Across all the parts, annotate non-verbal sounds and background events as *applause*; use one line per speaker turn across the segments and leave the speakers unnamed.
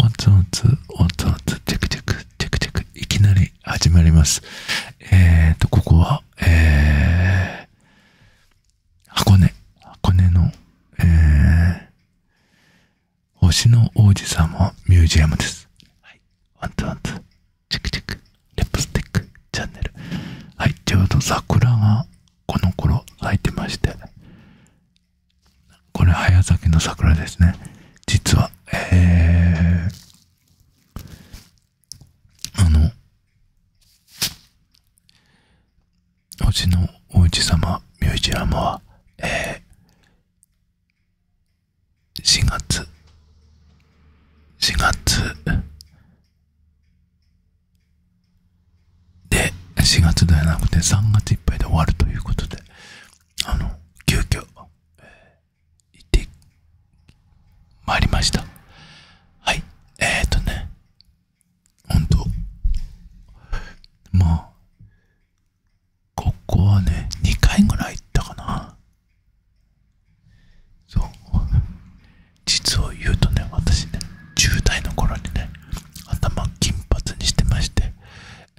ワンツワンツ、ワンツワンツ、チェクチェク、チェクク、いきなり始まります。えーと、ここは、えー、箱根、箱根の、えー、星の王子様ミュージアムです。はい。ワンツワンツ、チェクチェク、リップスティック、チャンネル。はい、ちょうど桜がこの頃咲いてまして、これ早咲きの桜ですね実はえあの星のおうち様ミュージアムはえー、4月4月で、4月ではなくて3月いっぱいで終わるということで、あの、急遽、え行ってまいりました。はい、えー、っとね、ほんと、まあ、ここはね、2回ぐらい行ったかな。そう。実を言うとね、私ね、10代の頃にね、頭金髪にしてまして、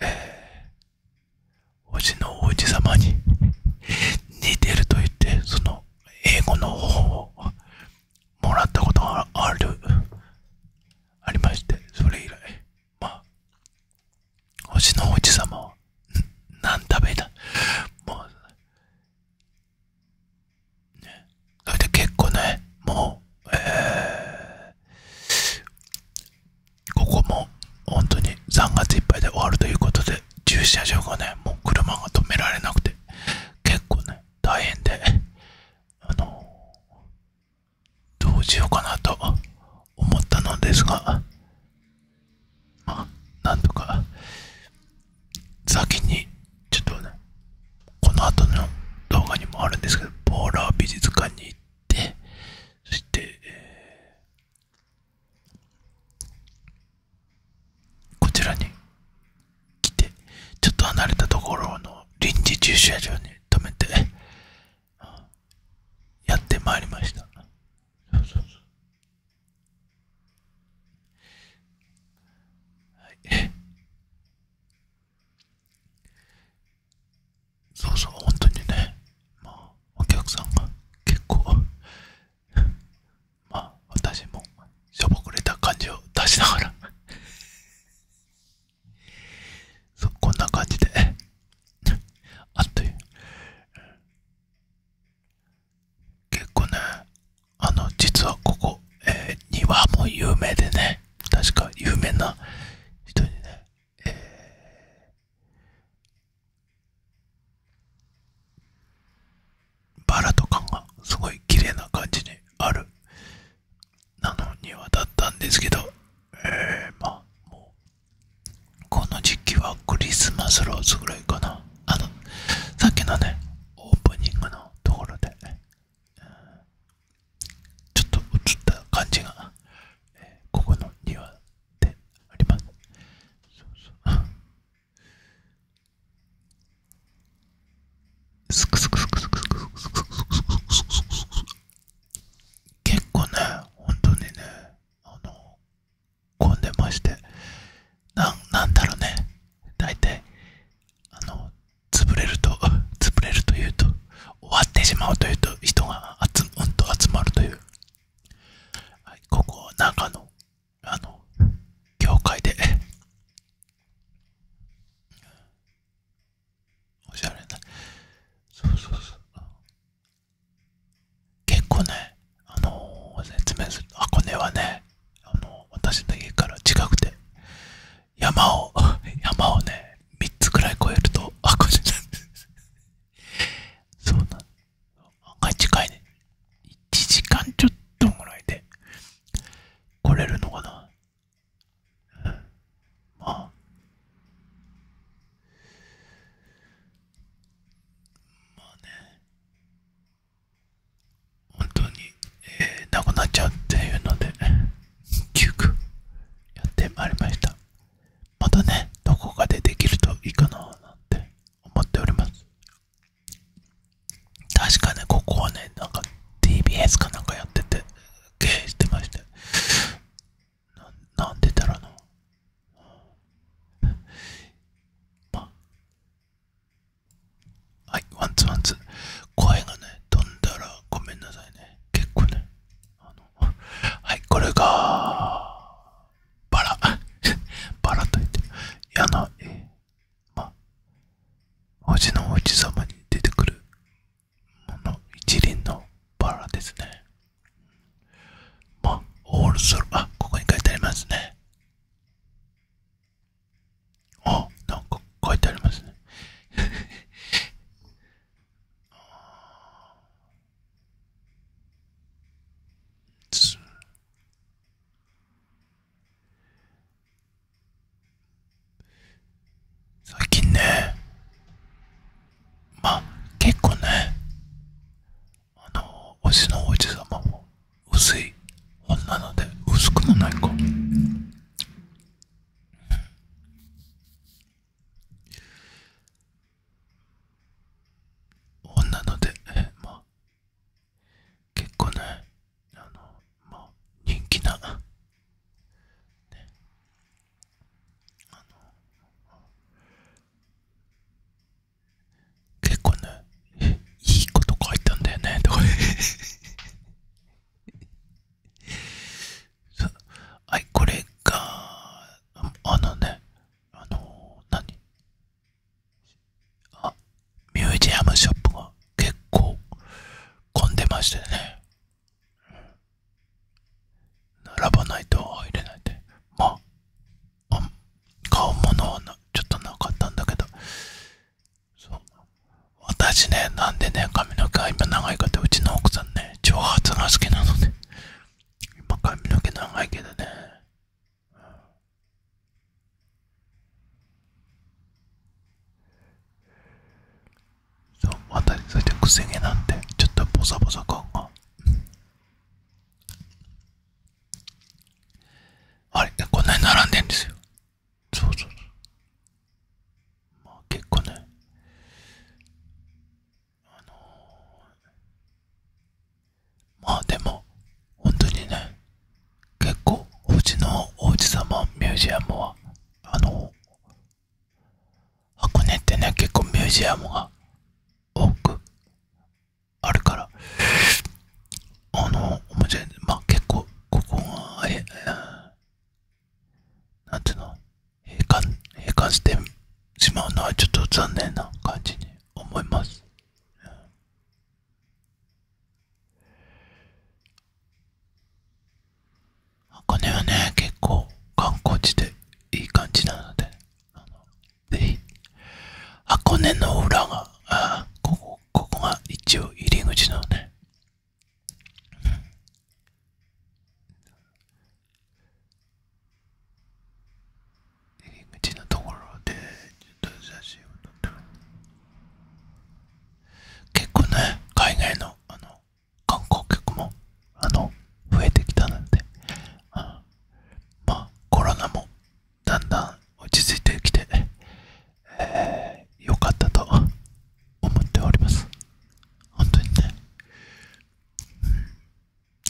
えー、おじの王子様に似てると言ってその英語の方法をもらったことがあるありましてそれ以来まあおじの王子様は何食べたもうそれで結構ね、もう、ここも本当に3月いっぱいで終わるということで、駐車場がね、もう車が止められなくて、結構ね、大変で、あの、どうしようかなと思ったのですが、まあ、なんとか、先にちょっとね、この後の動画にもあるんですけど、ポーラー美術館に行って、そして、こちらに来て、ちょっと離れたところの臨時駐車場に止めて、やってまいりました。そうそうそうはい、そうそう、本当にね、まあ、お客さんが結構 *laughs* まあ、私もしょぼくれた感じを出しながら *laughs* そこんな感じで *laughs* あっという。結構ね、あの、実はここ、え庭も有名でね、確か有名な人にね、えバラとかがすごい綺麗な感じにある、あの庭だったんですけど、えまもう、この時期はクリスマスローズぐらいかな。あの、さっきのね、オープニングのところで、ね、ちょっと映った感じが、えー、ここの庭でありますすくすくすくすくす結構ね本当にねあの混んでましてななんだろうね大体あの潰れると潰れるというと終わってしまうというと人が集うんと集まるという、はい、ここ中のあの教会でおしゃれなそうそうそう結構ねあの説明すると箱根はねねも私の家から近くて山を *laughs* 山をね3つくらい越えるとあこっちなんでそうなん案外近いね1時間ちょっとぐらいで来れるのかな、まあまあね本当に、えなくなっちゃうっていうので急遽やってまいりましたまたねどこかでできるといいかななんて思っております確かねここはねなんか TBS かなんかやってて経営してましてなんでたらのまあはい、ワンツワンツ。声がね、飛んだらごめんなさいね。結構ね。あの *laughs* はい、これが、バラ。*laughs* バラと言って、矢の絵。まあ、星のおじ様に出てくる、もの、一輪のバラですね。まあ、オールソロ、あ、ここに書いてありますね。あなんか書いてありますねあつ *laughs* 最近ねまあ結構ねあの推しのおじさまも薄い女ので薄くもないか女のでまあ結構ねあのまあ人気な、ね、あの結構ねいいこと書いたんだよねとか *laughs* はいこれがあのねあの何あミュージアムショップが結構混んでましてね並ばないと入れないでまあ買うものはちょっとなかったんだけどそう私ねなんでね髪の毛が今長いかっうちの奥さんね長髪が好きなので今髪の毛長いけどねそう私そしてくせ毛なんで、ちょっとボサボサ感あれ、こんなに並んでんですよ。そうそうそう。まあ結構ね、あのまあでも、本当にね、結構、うちのお王子様ミュージアムは、あの箱根ってね、結構ミュージアムが多くあるから、あの、面白い。まあ、結構、ここが、え、なんていうの、閉館、閉館してしまうのはちょっと残念な感じに思います。箱根はね、結構観光地でいい感じなので、あのぜ箱根の裏があここここが一応入り口のね入り口のところでちょっと写真を撮ってる結構ね海外のあの観光客もあの増えてきたのであまあコロナもだんだん落ち着いてきてえー、かったと思っております本当にね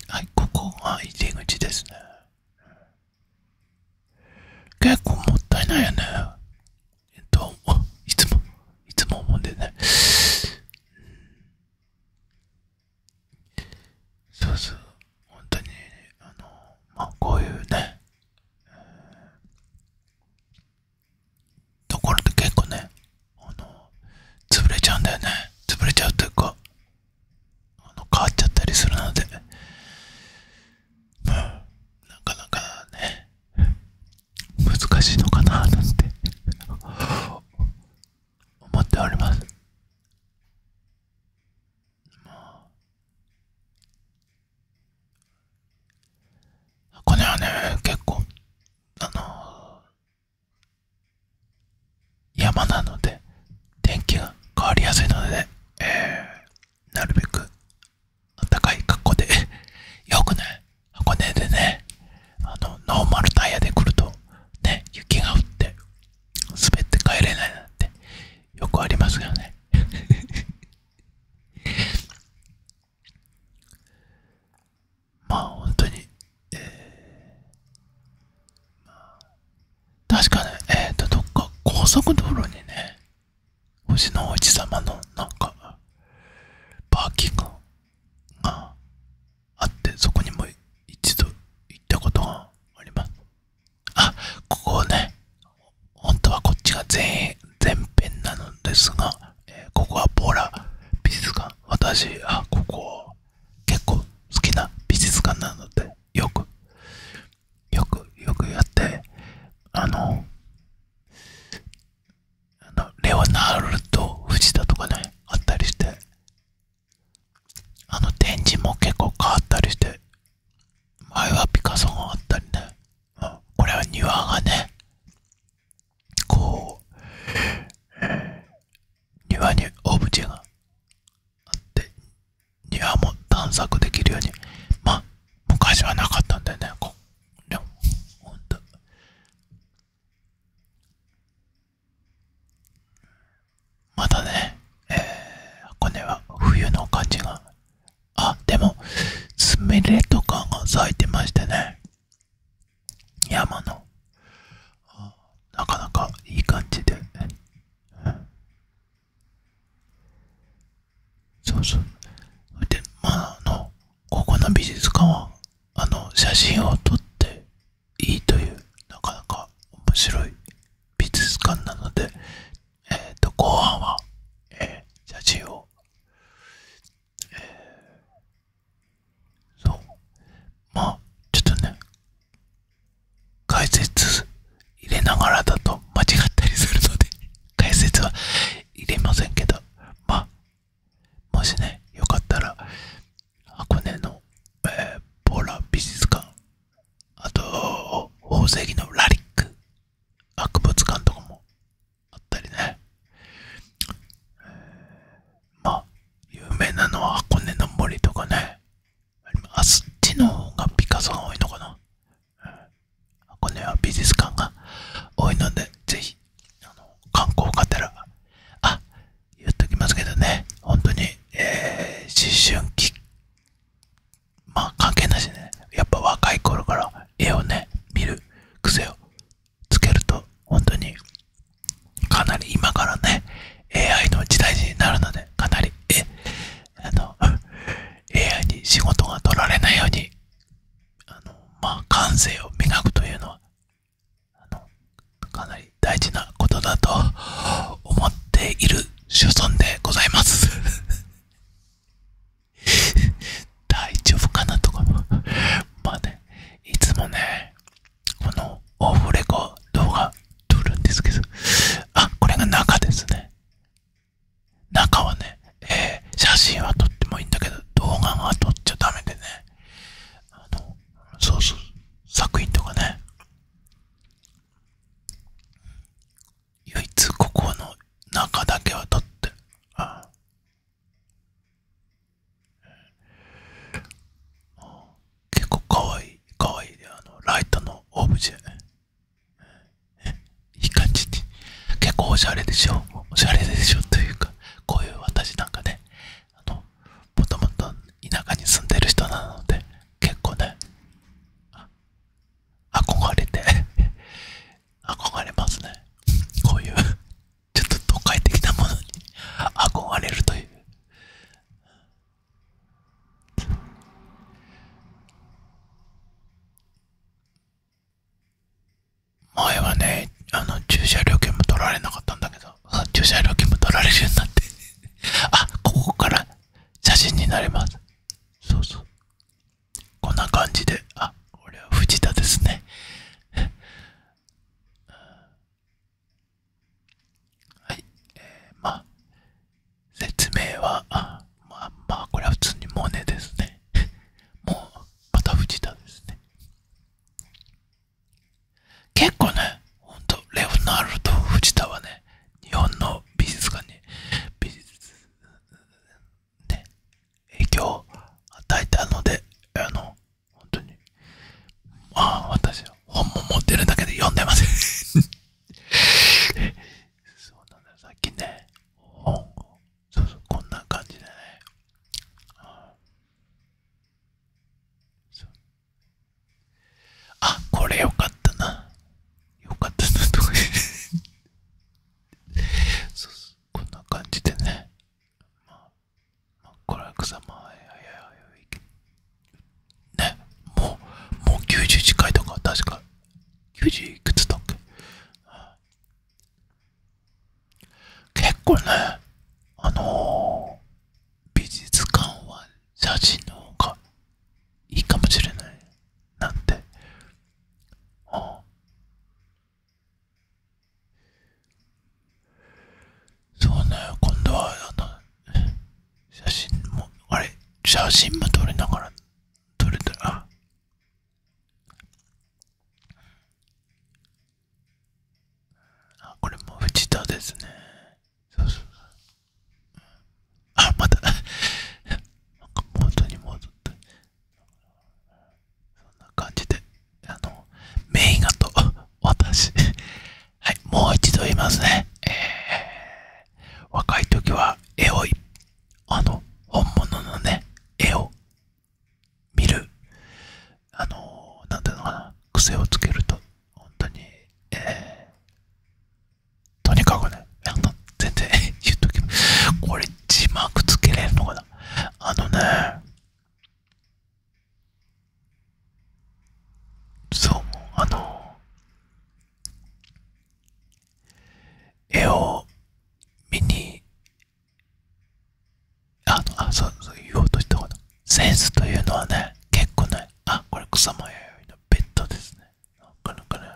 はいここが入り口ですね結構もったいないよねえっといつもいつも思うんでねそうそう本当にあのまこういうね、ところって結構ねあの潰れちゃうんだよね潰れちゃうというかあの変わっちゃったりするので、なかなかね難しいのかななんて思っております箱根はね、結構、あの山なので、天気が変わりやすいので、ね、なるべく、暖かい格好でよくね、箱根でね、あの、ノーマルタイヤで来ると、ね、雪が降って、滑って帰れないなんてよくありますよね *laughs* まあ本当に、えーまあ、確かねえっ、とどっか高速道路にね星の王子様のなんかパーキングがあってそこにも一度行ったことがありますあ、ここね、本当はこっちが前前編なのですが、えここはボラ美術館。私、あ、ここ結構好きな美術館なので、よく、よく、よくやって、あの、あのレオナルド・藤田とかね、あったりして、あの展示も結構変わったりして前はピカソがあったりね、これは庭がねこう、庭にオブジェがあって庭も探索できるようにまあ昔はなかったんだよねこでもほんとまたね、えー、箱根は冬の感じが、あ、でも、スミレとかが咲いてましてね、山の、なかなかいい感じで、そうそう。で、まあ、あの、ここの美術館は、あの、写真を撮って、いいというなかなか面白い美術館なので、えー、と後半は、え写真を、えそうまあちょっとね解説入れながらだと間違ったりするので解説は入れませんけどまあもしねよかったら箱根の、えー、ポーラ美術館あと宝石のラリック博物館とかもあったりね、まあ有名なのは箱根の森とかねあそっちの方がピカソが多いのかな、箱根は美術館が多いのでぜひあの観光がてらあ言っときますけどね、本当に、えー、思春期、まあ関係なしね、やっぱ若い頃から絵をね、見る癖をつけると、本当にかなり今からね、AI の時代になるので、かなり、え、あの、AI *laughs* に仕事が取られないように、あの、まあ感性を磨くというのはあのかなり大事なことだと思っている所存でございます *laughs* 大丈夫かなとかもまあねいつもねこのオフレコ動画撮るんですけどあこれが中ですね中はね、え写真は撮ってもいいんだけど動画は撮っちゃダメでねあのそうそう作品とかね唯一ここの中だけは撮ってああ結構かわいいかわいいあのライトのオブジェいい感じに結構おしゃれでしょおしゃれでしょというかこういう私なんかねあのもともと田舎に住んでる人なので結構ね憧れて *laughs* 憧れますねこういう *laughs* ちょっと都会的なものに憧れるという前はねあの駐車料金も取られなかったんだけどな駐車料金も取られるようになってあここから写真になりますそうそうこんな感じであこれは藤田ですねはいえー、まあ説明はまあまあこれは普通にモネですねもうまた藤田ですね結構ね、ほんと、レオナルド・藤田はね、日本の美術館に、美術、ね、影響を与えたので、あの、ほんとに、ああ、私、本も持ってるだけで読んでません *laughs* そうなんだよ、さっきね、本を、そうそう、こんな感じでね、あ、これよかったな。よかったなとかこんな感じでね。まあ、まあ、これは草間、はいはいはいね、もう、もう90近いとか、確か。90いくつだっけ結構ね、あの美術館は写真の方がいいかもしれないなって。あそうね、今度はあの写真も、あれ、写真も撮りながら撮れたら、あこれも藤田ですねそうあまたなんか元に戻ってそんな感じであのメイガと私はいもう一度言いますねえ若い時は絵をあの本物のね絵を見る、あのー、なんていうのかな、癖をつけると、本当に、えー、とにかくね、あの全然 *laughs* 言っときます。これ、字幕つけれるのかなあのね、そう、あの、絵を見にああ、そう、そう言おうとしたこと。センスというのはね、結構ね、あ、これ草間彌生のベッドですね。なかなかね、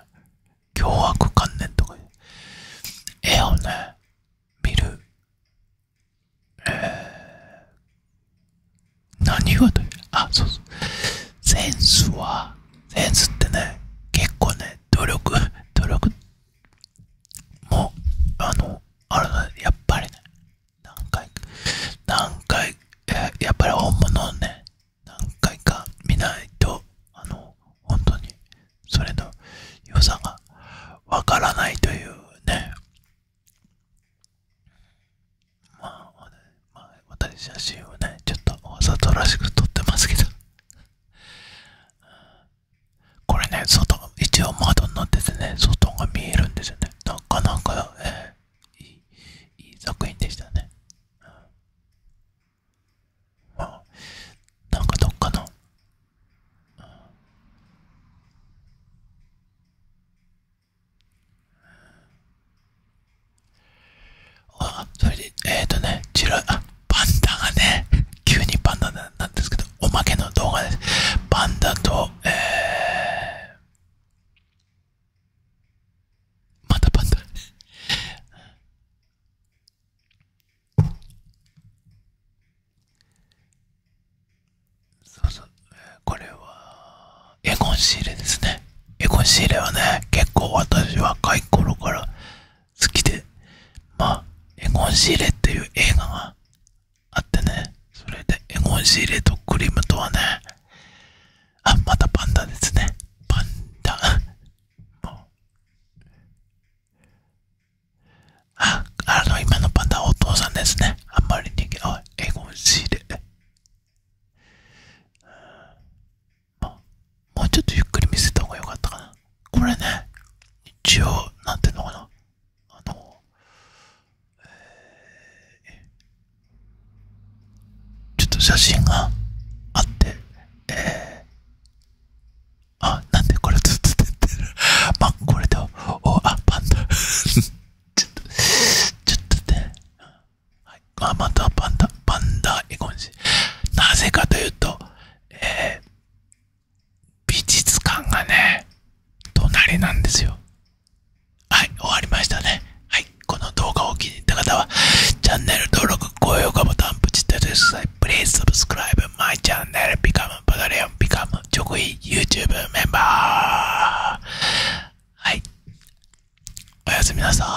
凶悪観念とか絵をね、見る、えー、何がという、あ、そうそう。センスは、センスってね、結構ね、努力、努力もう、あの、あれね、やっぱりね、何回、何回、ややっぱり本物をね、何回か見ないと、あの、本当に、それの良さがわからないというね、まあ、私写真をね、ちょっとわ里らしく撮ってますけど、これね外一応窓になっててね外が見えるんですよねなんかなんか、えー、いいいい作品でしたね、うんまあ、なんかどっかの、うん、あそれでえっ、とねチラあパンダがね、急にパンダなんですけど、おまけの動画です。パンダと、えー、またパンダそうそう、これは、エゴンシーレですね。エゴンシーレはね、結構私若い頃から好きで、まあ、エゴンシーレっていう映画があってね、それでエゴンシーレとクリムとはね、あ、またパンダですね。パンダ。*laughs* もうあ、あの、今のパンダはお父さんですね。あんまり人気、あ、エゴンシーレ。あ、もうちょっとゆっくり見せた方が良かったかな。これね、一応、なんていうのかな。あの、えー、ちょっと写真があって、えー、あ、なんでこれずっと出てる。*laughs* まあ、これで、お、あ、パンダ。*laughs* ちょっと、ちょっとね。はい、あ、またパンダ、パンダイコン誌。なぜかというと、えー、美術館がね隣なんですよはい終わりましたねはいこの動画を気に入った方はチャンネル登録高評価ボタンプチッとしてください Please subscribe my channel become p a t r e 直位 YouTube メンバーはいおやすみなさーい